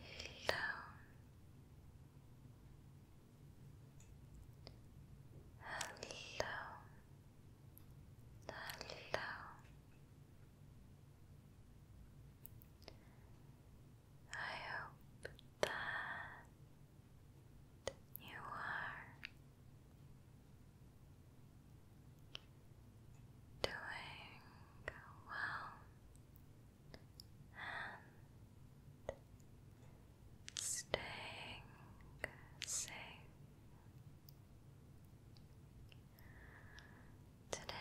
Hello. Hello. Hello. I hope that you are doing well and staying safe. Today,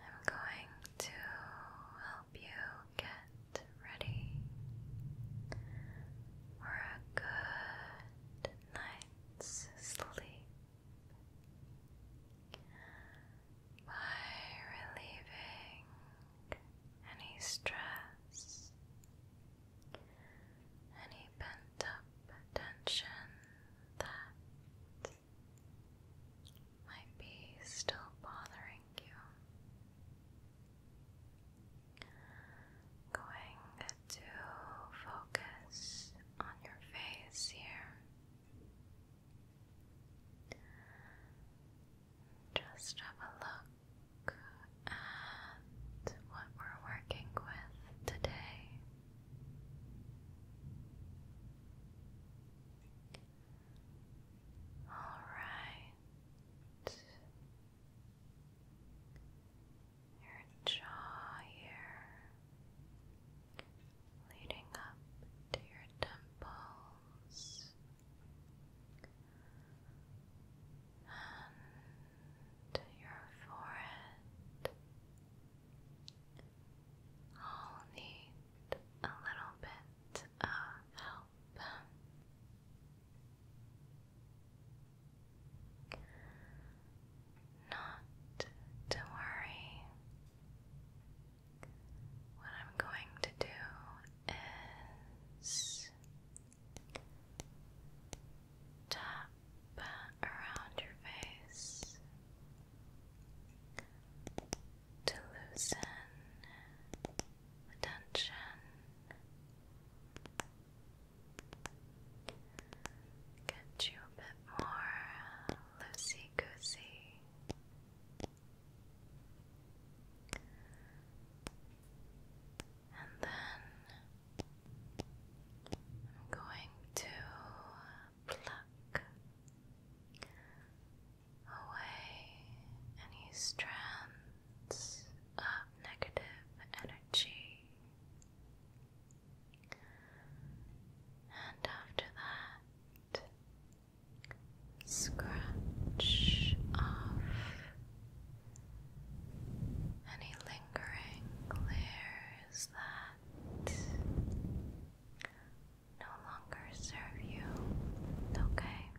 I'm going to help you get ready for a good night's night's sleep by relieving any stress, any pent up tension that might be still bothering you. Going to focus on your face here. Just have a look at what we're working with today. All right your jaw here, leading up to your temples, and your forehead. All need a little bit of help. Not to worry. What I'm going to do is tap around your face to loosen tension Get you a bit more loosey goosey. And then I'm going to pluck away any strands of negative energy and after that, scratch off any lingering layers that no longer serve you, okay?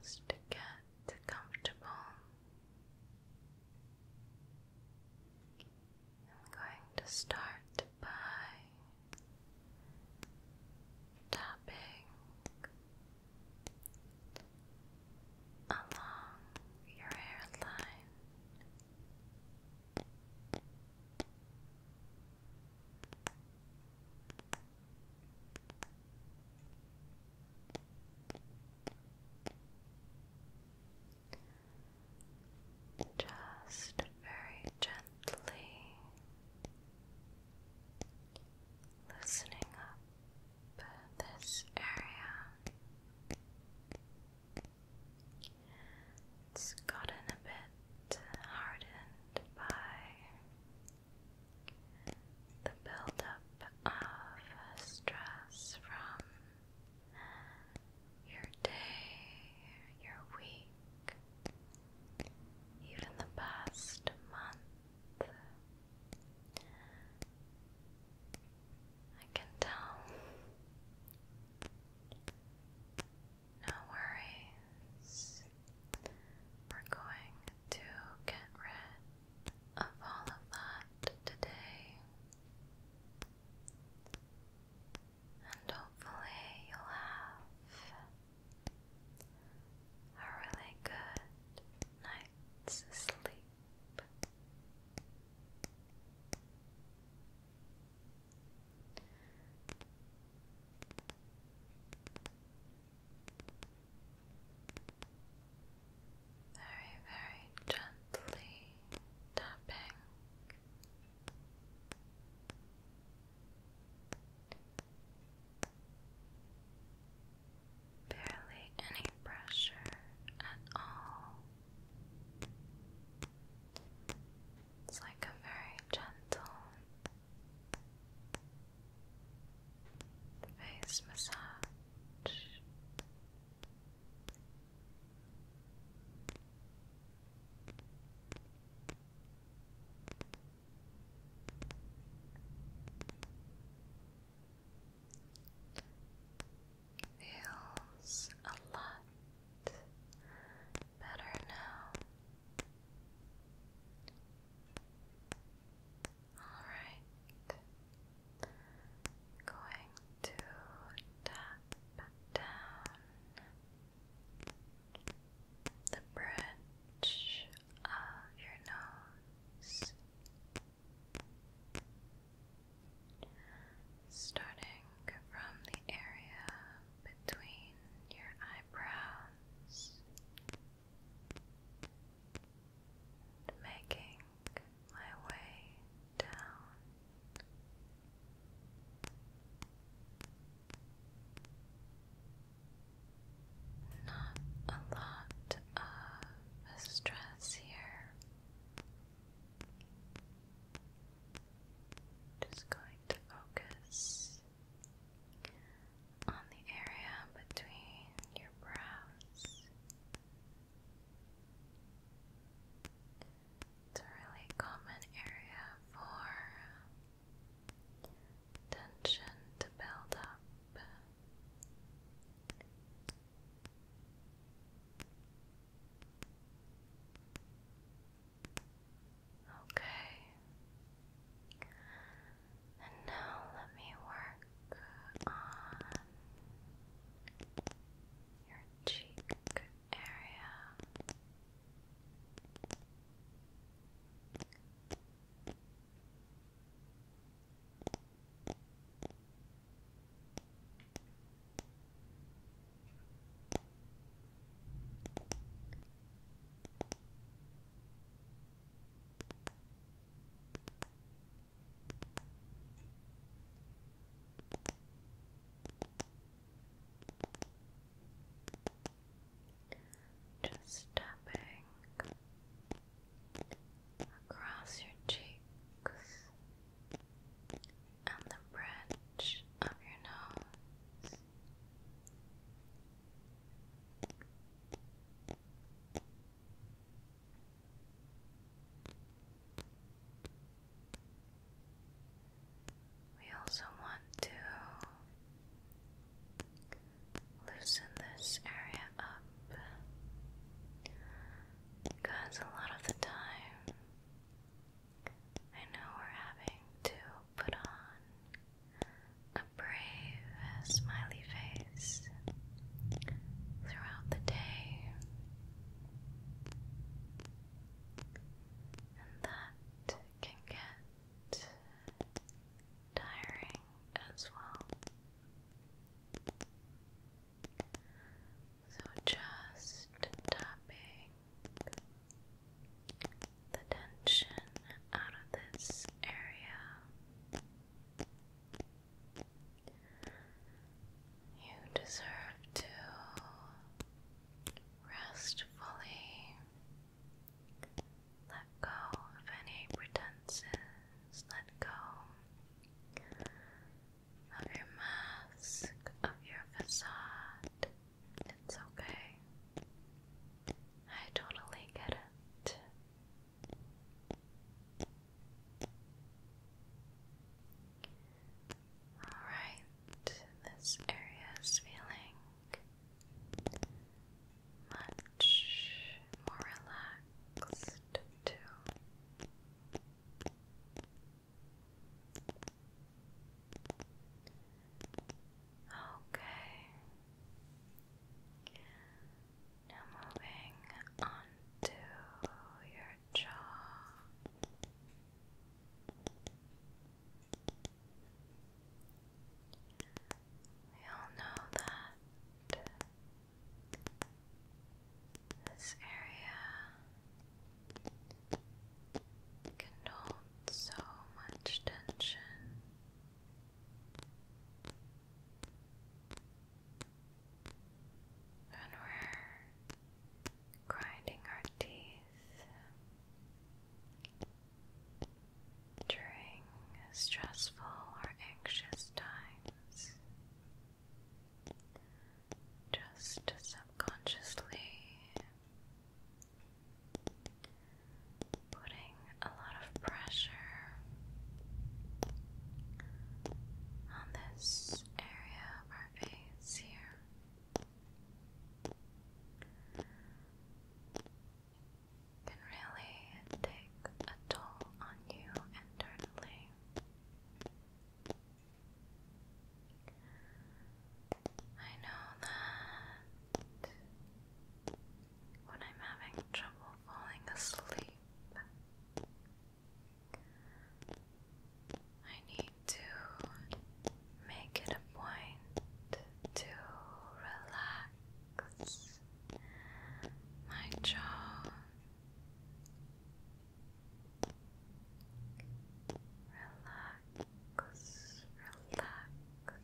just to get comfortable. I'm going to start by tapping along your hairline. Just very gently loosening up this area. It's gotten a bit hardened by the buildup of stress from your day, your week, even the past month. I can tell. No worries eyes. We're going to get rid of all of that today. And hopefully, you'll have a really good night's sleep. Very, very gently tapping. Barely any pressure at all. It's like a very gentle Face massage. Feels a lot better now. Alright. Going to tap down the bridge of your nose. Starting from the area between your eyebrows, making my way down. Not a lot of stress here. Just going to focus on the area between your brows it's a really common area for tension to build up Okay. And now let me work on your cheek area. Just tapping across your cheeks and the bridge of your nose. We also want to loosen this area up because a lot of the time I know we're having to put on a brave, smiley face throughout the day, and that can get tiring as well. So just tapping the tension out of this area. You deserve to rest fully, let go of any pretenses, let go of your mask, of your facade. It's okay. I totally get it. Alright, this area is feeling much more relaxed, too. Okay. Now moving on your jaw. We all know that this area can hold so much tension. When we're grinding our teeth during stressful or anxious times, just subconsciously putting a lot of pressure on this area of our face here. Can really take a toll on you internally. I know that when I'm having trouble falling asleep, I need to make it a point to relax my jaw. Relax relax, relax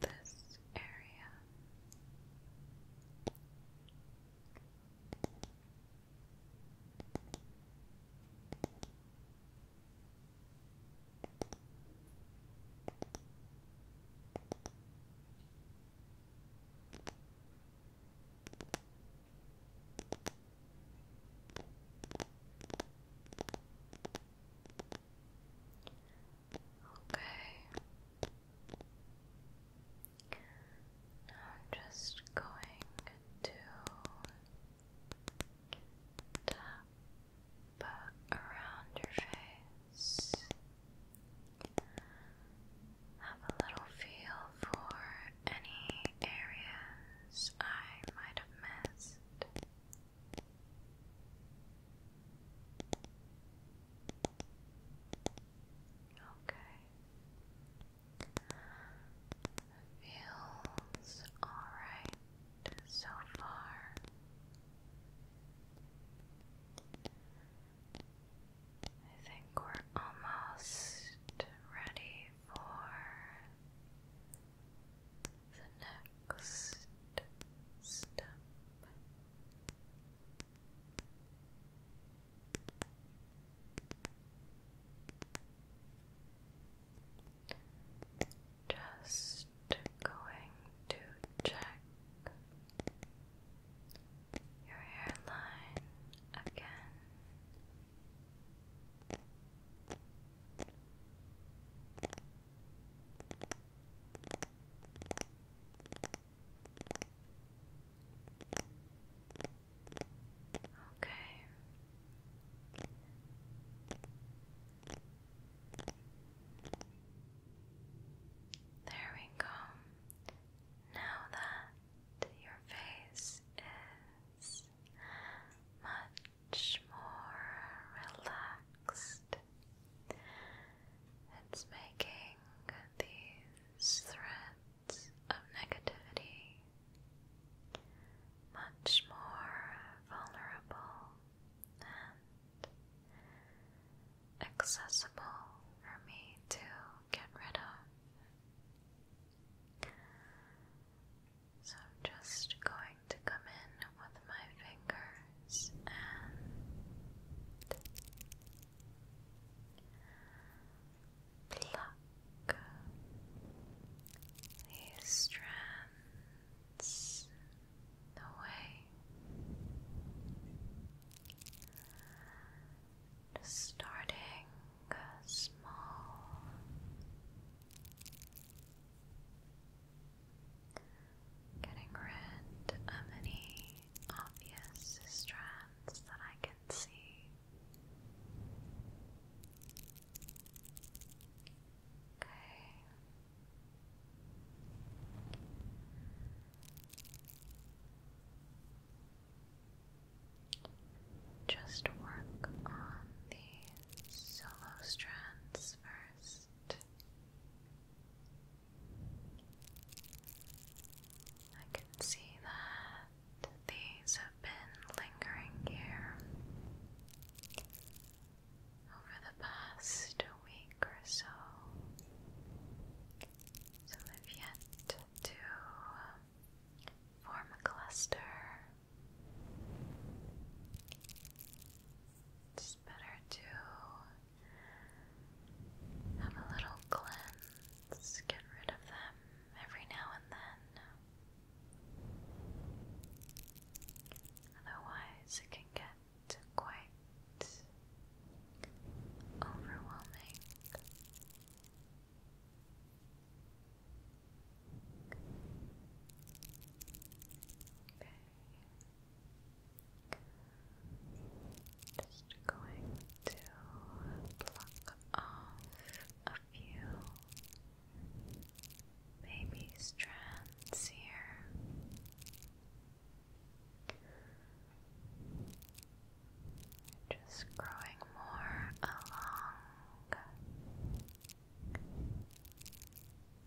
this area. Relax, relax, relax, Okay. Now I'm just going to tap around your face. Have a little feel for any areas I might have missed. Okay. Feels alright so far. I think we're almost ready for the next step. Just going to check your hairline again. Okay. There we go. Now that your face is much more relaxed. It's making these threads of negativity much more vulnerable and accessible for me to get rid of. So I'm just going to come in with my fingers and pluck these strands away. Just starting small. Getting rid of any obvious strands that I can see. Okay. Just work on the solo strands first. I can see that these have been lingering here over the past week or so, so they've yet to um, form a cluster. It's better to have a little cleanse, get rid of them every now and then. Otherwise, it can get quite overwhelming. Okay. Just going to pluck off a few baby strands here. Just growing more along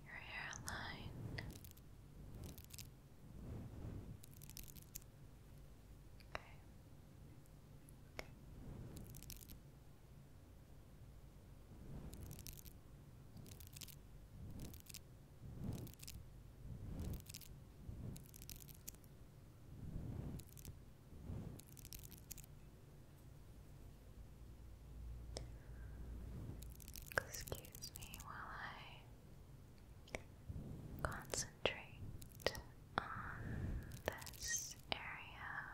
your hairline. Okay. Excuse me while I concentrate on this area.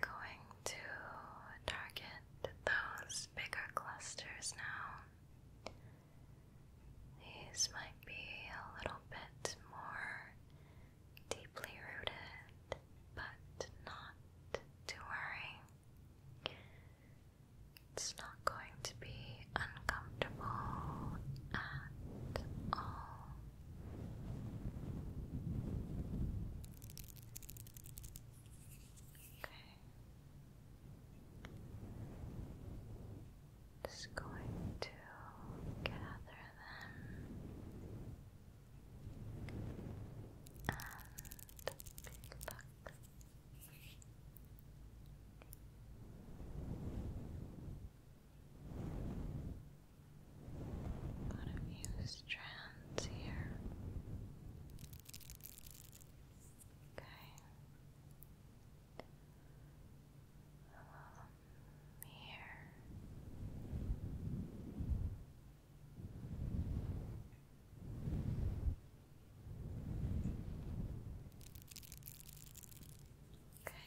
going to target those bigger clusters now. These might be a little bit more deeply rooted, but not to worry. It's not going to be uncomfortable at all. Okay. Just going to gather them and pluck. Okay. Got a few strands here. Okay. Um, here. Okay.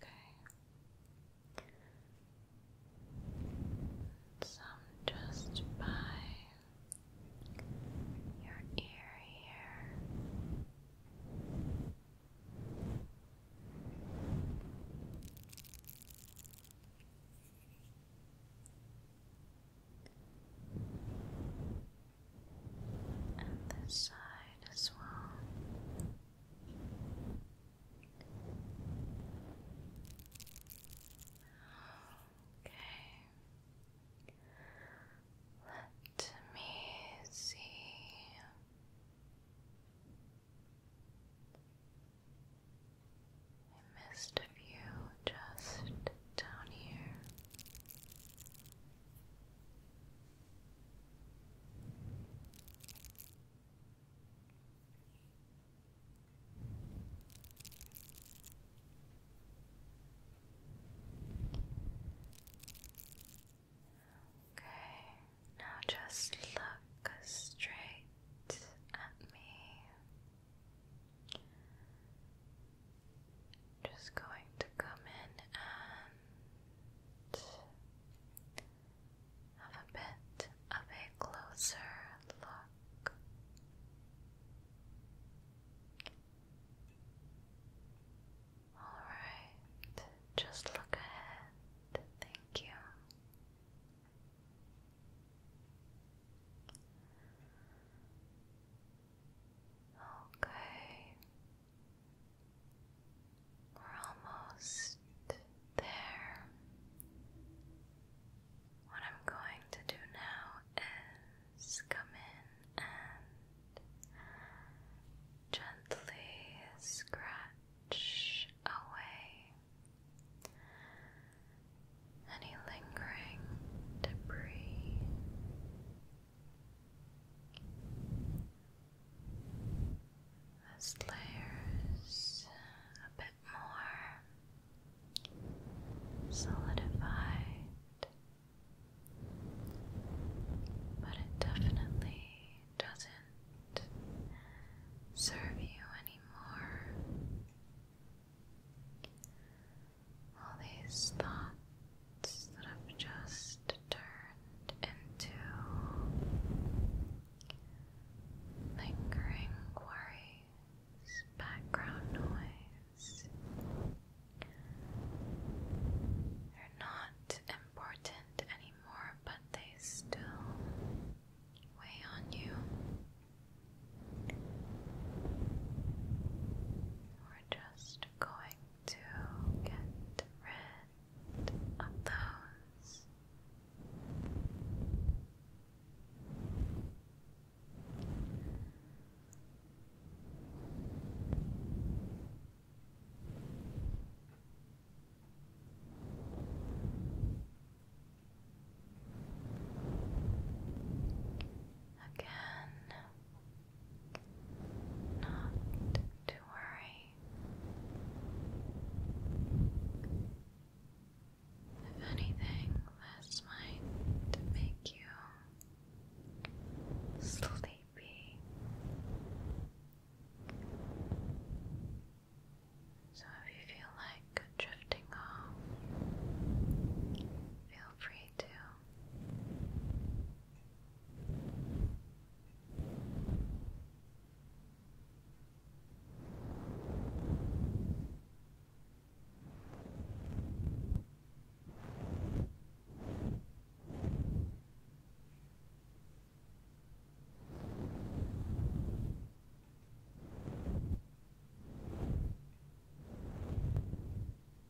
Okay. Some just by your ear here and this side as well. Okay. Let me see. I missed a few just down here. Okay, now just look straight at me. Just going to come in and have a bit of a closer look. Alright, just look ahead. Thank you. Okay. We're almost there. What I'm going to do now is come in and gently scratch away any lingering debris those layers a bit more solidified, but it definitely doesn't serve you anymore. All these thoughts that have just turned into lingering worries, background noise. They're not important anymore, but they still weigh on you we're just going to get rid of those. Again, not to worry. If anything, this might make you sleepy. So if you feel like drifting off, feel feel free to.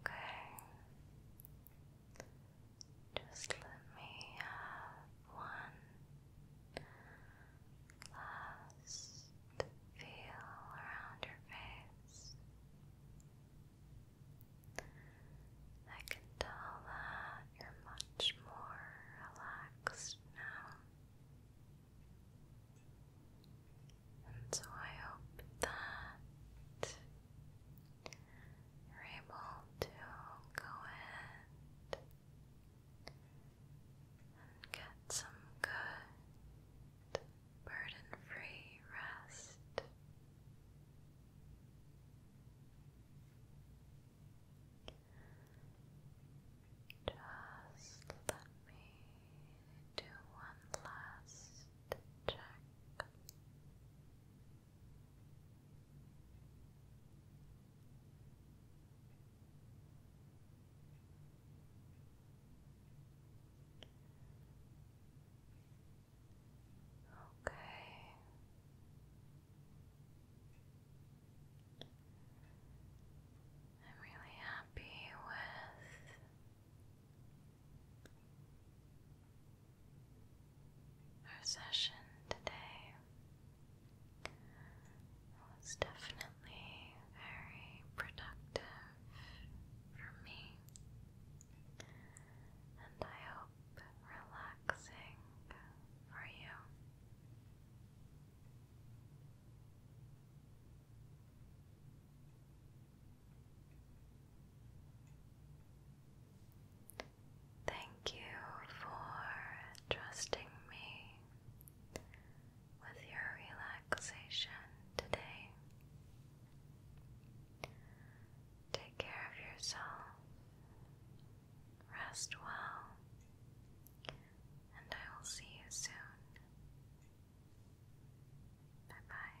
Okay, just let me have one last feel around your face. I can tell that you're much more relaxed now. And so I hope that you're able to go ahead and get some good burden free rest. Just let me do one last check. Okay, I'm really happy with our session today. It was definitely very productive for me, and I relaxing for you. Thank you for trusting me with your relaxation today. Take care of yourself Rest well, and I will see you soon. Bye bye.